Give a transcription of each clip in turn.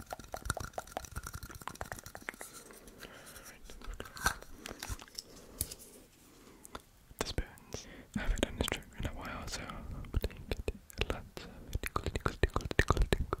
The spoons haven't done this trick in a while, so I'm going to get lots of tickle, tickle, tickle, tickle, tickles.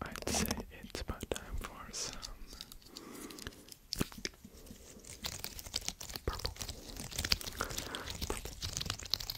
I'd say it's about time for some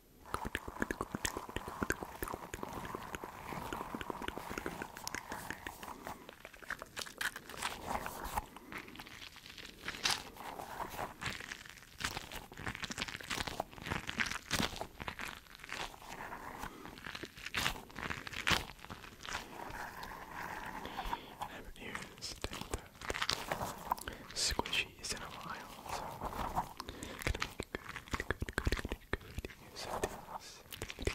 Haven't you seen that squishy she's in a while, so gonna make good, good, good, good, good use of this. Good,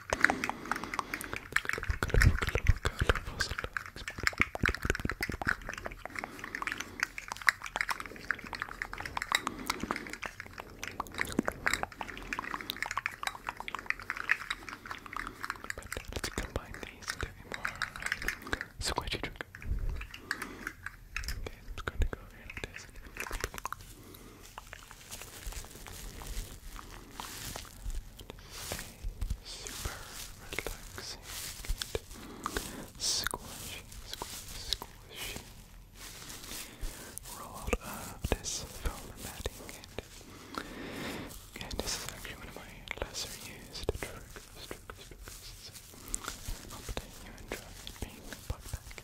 but let's combine these into a more squishy trick. Okay, I'm just going to go here like this. Okay, Super relaxing squishy, squishy, squishy. Roll out this foam matting and, this is actually one of my lesser used triggers, triggers, you enjoy being put back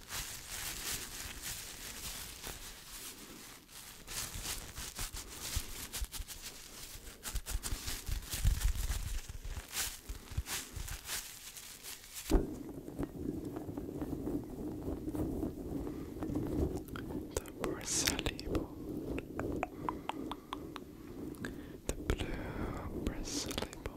The bristly ball. The blue bristly ball.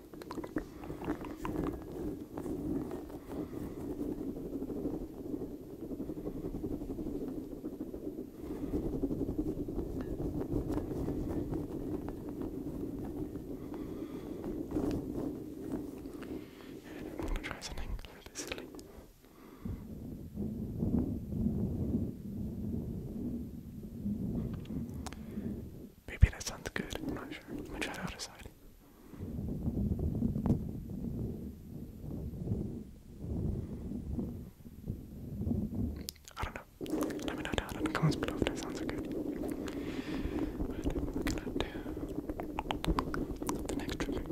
I'm gonna try something a little bit silly. Maybe that sounds good. I'm not sure. I'm try it out aside. I don't know. Let me know down in the comments below if that sounds good. But we're do the next trigger.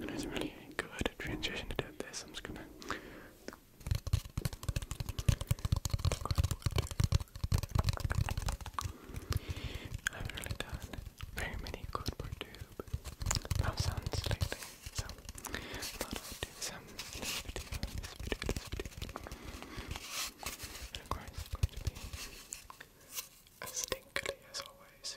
And it's really good transition to do this. I'm just gonna I've really done very many good for tube love sounds lately, so I thought do this video, in going to be as stinkly as always.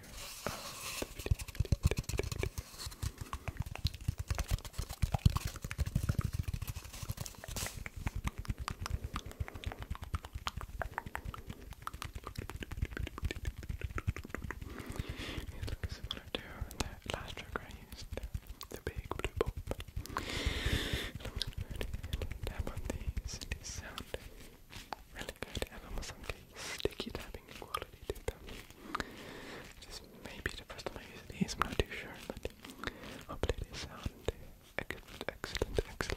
back of the video, last trigger I used, the, big blue pop. It looks good. sound really good. And almost some sticky tapping quality the first time I use these, I'm not too sure, but hopefully they sound excellent, excellent, excellent, excellent.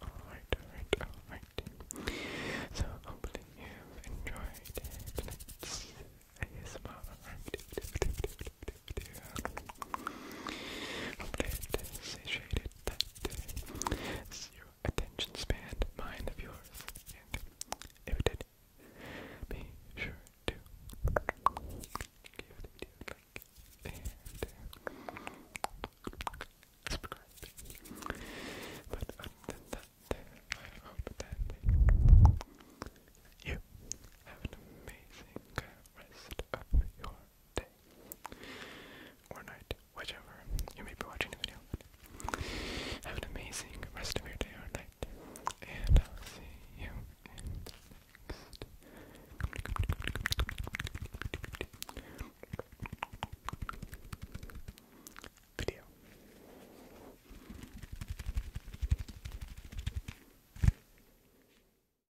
Alright, alright, alright. So you've enjoyed tonight's ASMR satiated that uh, attention span mind of yours, and if it did, be sure to give the video a like and subscribe. But other than that, I hope that you have an amazing rest of your day or night, whichever you may be watching the video. have an amazing rest of your day or night, and I'll see you next. Video.